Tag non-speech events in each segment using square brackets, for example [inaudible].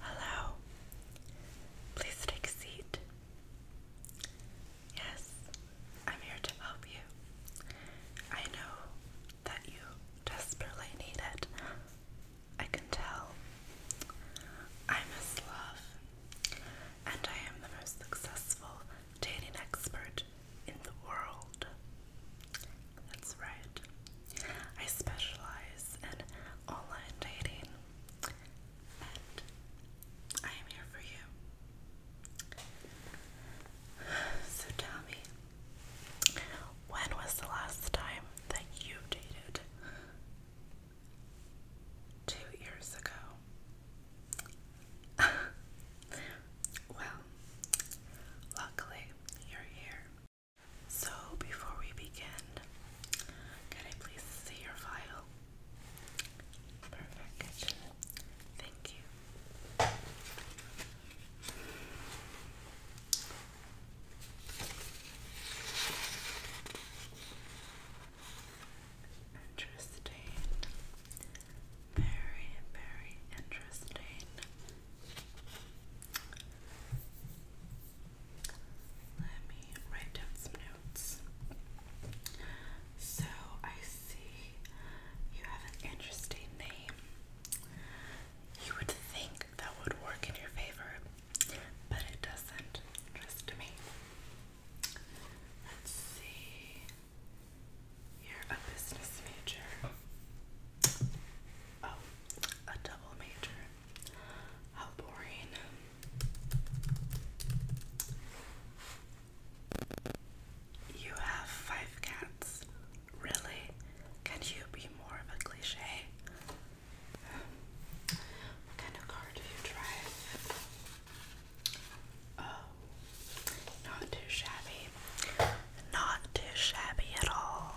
Hello. Please take a seat. Yes, I'm here to help you. I know that you desperately need it. I can tell. I miss love, and I am the most successful dating expert in the world. That's right. I specialize in online dating, and I am here for you. So tell me, when was the last time that you dated? Two years ago. [laughs] well, luckily you're here so, before we begin, can I please see your file? Perfect. Thank you. Interesting. Very, very interesting. Let me write down some notes. So I see you have an interesting name. You would think that would work in your favor, but it doesn't. Trust me. Let's see. you business major. Oh, a double major. How boring. You have five cats. Really? Can you be more of a cliche? what kind of car do you drive? Oh, not too shabby. Not too shabby at all.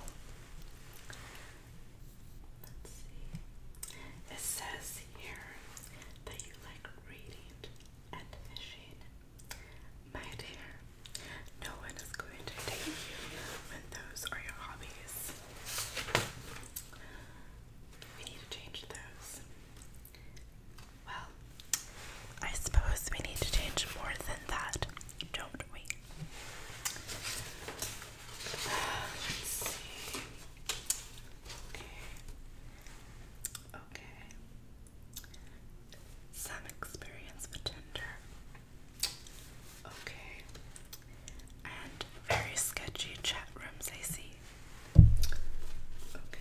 Let's see. It says here that you like reading and fishing. My dear, no one is going to take you when those are your hobbies. We need to change those. Well, I suppose we need to change more than that, don't we? Some experience with Tinder. Okay. And very sketchy chat rooms, I see. okay.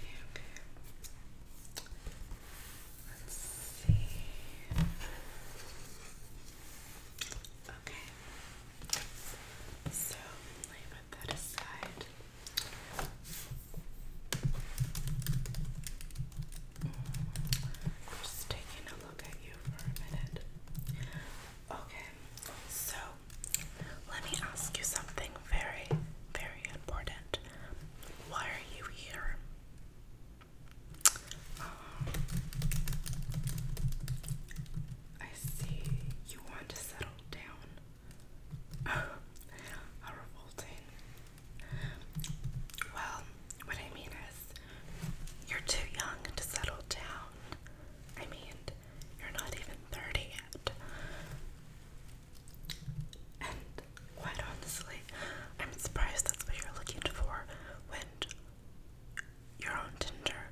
Let's see. Okay. So let me put that aside. Mm. just taking a look at you for a minute. Okay, so let me ask you something very, very important. Why are you here? [sighs] I see you want to settle down. How [sighs] revolting. Well, what I mean is, you're too young to settle down. I mean, you're not even 30 yet. Quite honestly, I'm surprised that's what you're looking for when you're on Tinder.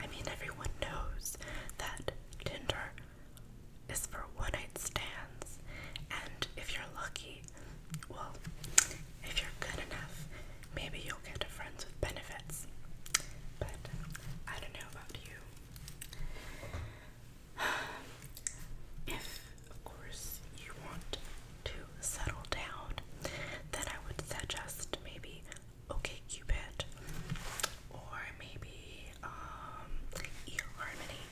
I mean, everyone knows that Tinder is for one night stands, and if you're lucky, well, if you're good enough, maybe you'll get a friends with benefits. But I don't know about you. [sighs] If of course, you want to settle down. Then I would suggest maybe OK Cupid or maybe um, eHarmony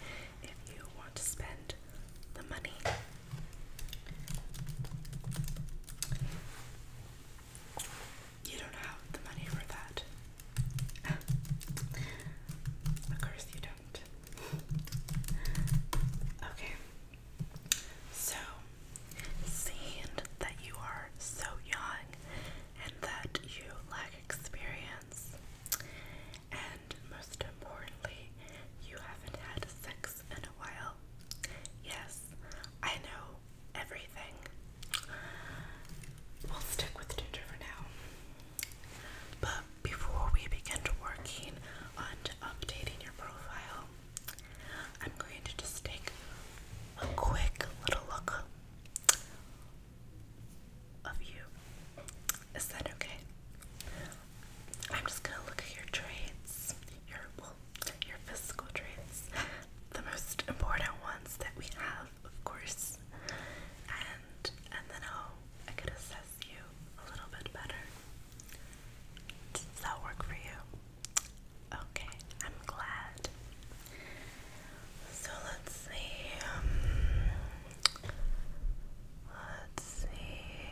if you want to spend the money. You don't have the money for that. [laughs] of course you don't okay. So, seeing that you are so young and that you lack experience, and most importantly, you haven't had sex in a while. Yes, I know everything. We'll stick with Ginger for now. But before we begin working on updating your profile, I'm going to just take a quick little look of you. Is that okay? I'm just gonna look at your traits, your your physical traits, the most important ones that we have, of course, and and then I'll I could assess relaxes you a little bit better. Does that work for you? Okay, I'm glad. So let's see. Um, let's see.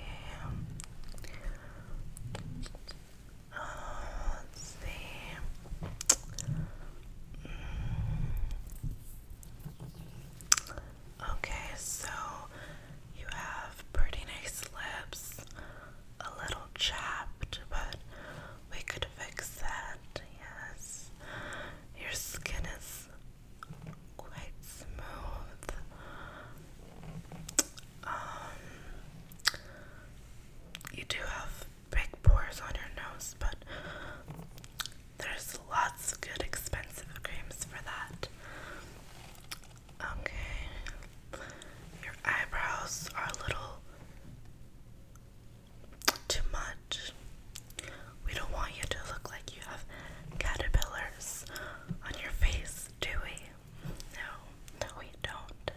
Uh, let's see. Mm. Okay, so you have pretty nice lips, a little chapped, but we could fix that, yes. Your skin is quite smooth. Um, you do have big pores on your nose, but there's lots of good expensive creams for that. Okay. Your eyebrows are a little too much. We don't want you to look like you have caterpillars on your face, do we? No, no, we don't.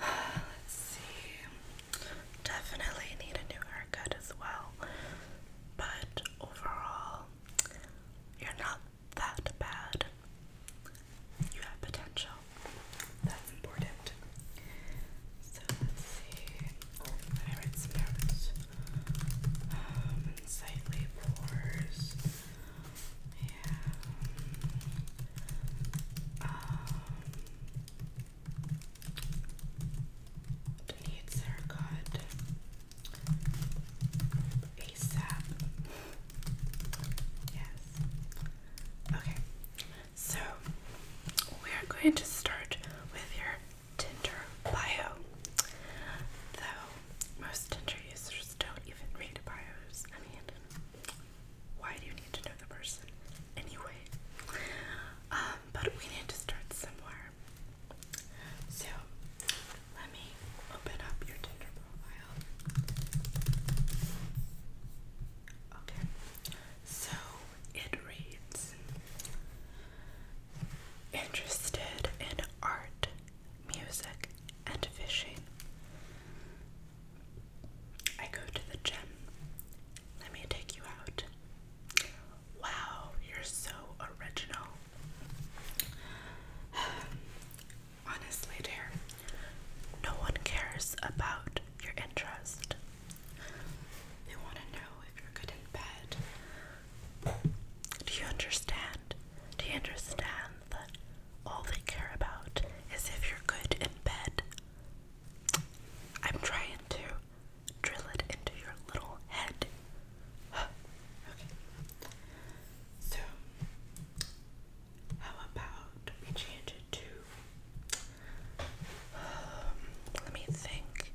[sighs] Let's see. Definitely need a new haircut as well. But overall, you're not that bad. You have potential. That's important. So let's see. Favorite spirits. Um, Sightly Pores. Yeah. Um, Needs haircut ASAP. Yes. Okay, so we are going to start with your Tinder bio. Though most Tinder users don't even read bios. I mean, why do you need to know the person anyway? Um, but we need to start somewhere. So let me open up your Tinder profile. Okay, so it reads Interested in art, music, and fishing. I go to the gym let me take you out. Wow, you're so original. [sighs] Honestly, dear, no one cares about your interest. They want to know if you're good in bed. Do you understand? Do you understand that all they care about is if you're good in bed? I'm trying to drill it into your little head. [sighs] okay. So, how about we change it to. [sighs] let me think.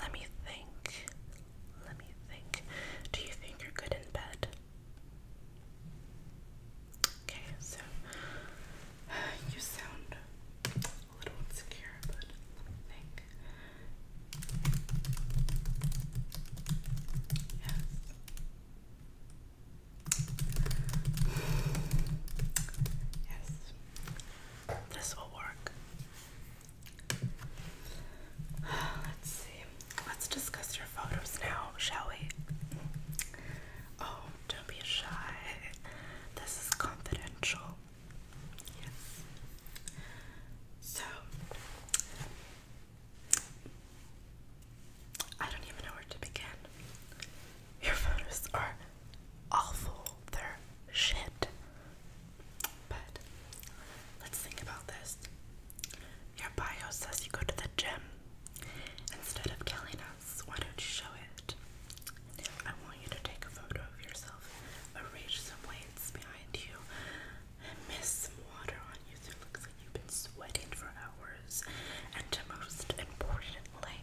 Let me think. Let me think. Do you think you're good in bed? Okay, so [sighs] you sound little insecure, but let Yes. Yes. This will work. Let's see. Let's discuss your photos now, shall we? Oh, don't be shy. This is confidential. Yes. So I don't even know where to begin. Your photos are awful. They're shit. But let's think about this. Your bio says you go to the gym. Instead of telling us, why don't you show it? I want you to take a photo of yourself, arrange some weights behind you, mist some water on you so it looks like you've been sweating for hours. And most importantly,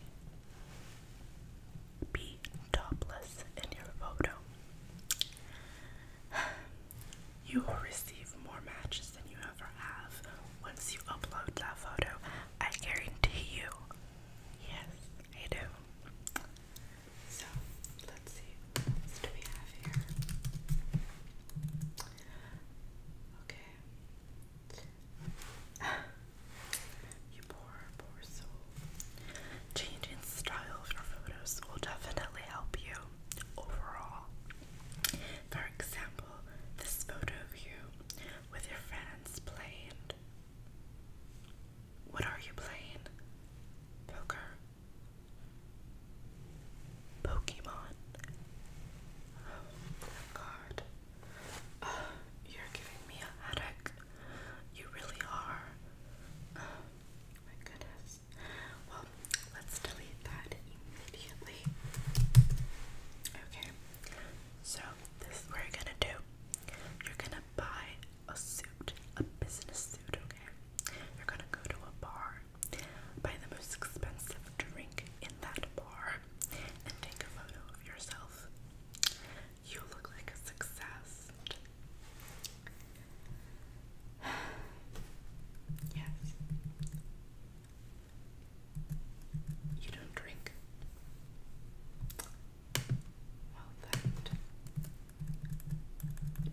be topless in your photo. [sighs] You will receive more matches than you ever have once you upload that photo. I guarantee you. Yes. I do. So let's see. What do we have here? Okay. [sighs] you poor, poor soul. Changing style for photos will definitely help you overall. For example, this photo of you with your friends playing. What are you playing? Poker. Pokemon. Oh god. Oh, you're giving me a headache. You really are. Oh, my goodness. Well, let's delete that immediately. Okay. So, this is what you're gonna do. You're gonna buy a suit, a business suit, okay? You're gonna go to a bar, buy the most expensive drink in that bar, and take a photo of yourself. You look like a success. [sighs] yes. You don't drink. Well that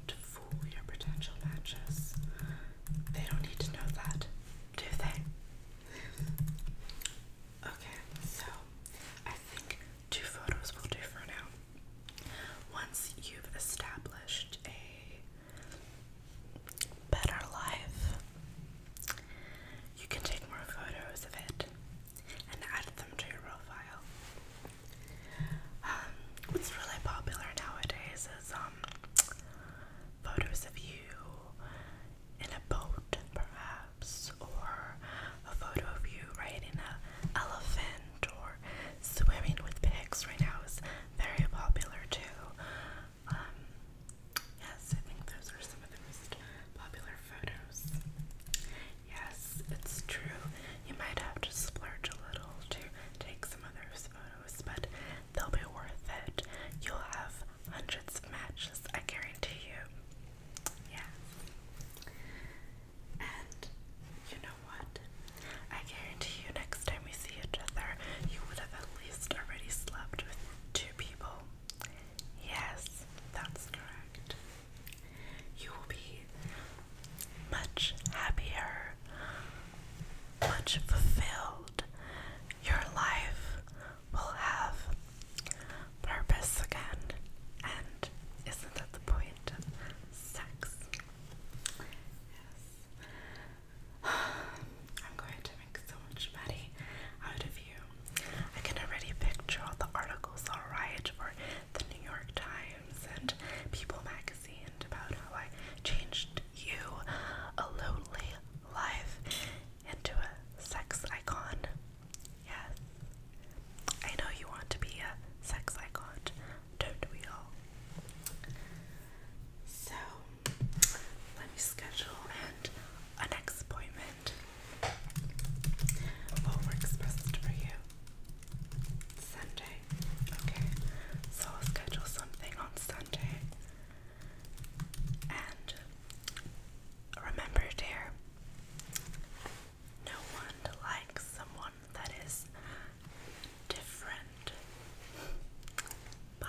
to fool your potential matches. They don't need to know that, do they? Okay, so I think two photos will do for now. Once you've established a better life, you can take more photos of it and add them to your profile. Um, what's really popular nowadays is um photos of you in a boat, perhaps, or a photo of you riding a elephant or swimming with pigs. Right now is very popular too. Um, Yes, I think those are some of the most popular photos. Yes, it's true. You might have to splurge a little to take some of those photos, but they'll be worth it. You'll have hundreds of matches, I guarantee you. Yes. And you know what? I guarantee you next time we see each other, you would have at least already slept with two people. Yes, that's correct. You will be much happier, much fulfilled. Your life will have purpose again. And isn't that the point of sex? Yes. [sighs] I'm going to make so much money out of you. I can already picture all the articles i for the New York Times and People magazine about how I changed you, a lonely life, into a sex icon. Yes. I know you want to be a sex icon, don't we all? So, let me schedule an next appointment what works best for you? Sunday. Okay, so I'll schedule something on Sunday. And remember, dear, no one likes someone that is different. Bye.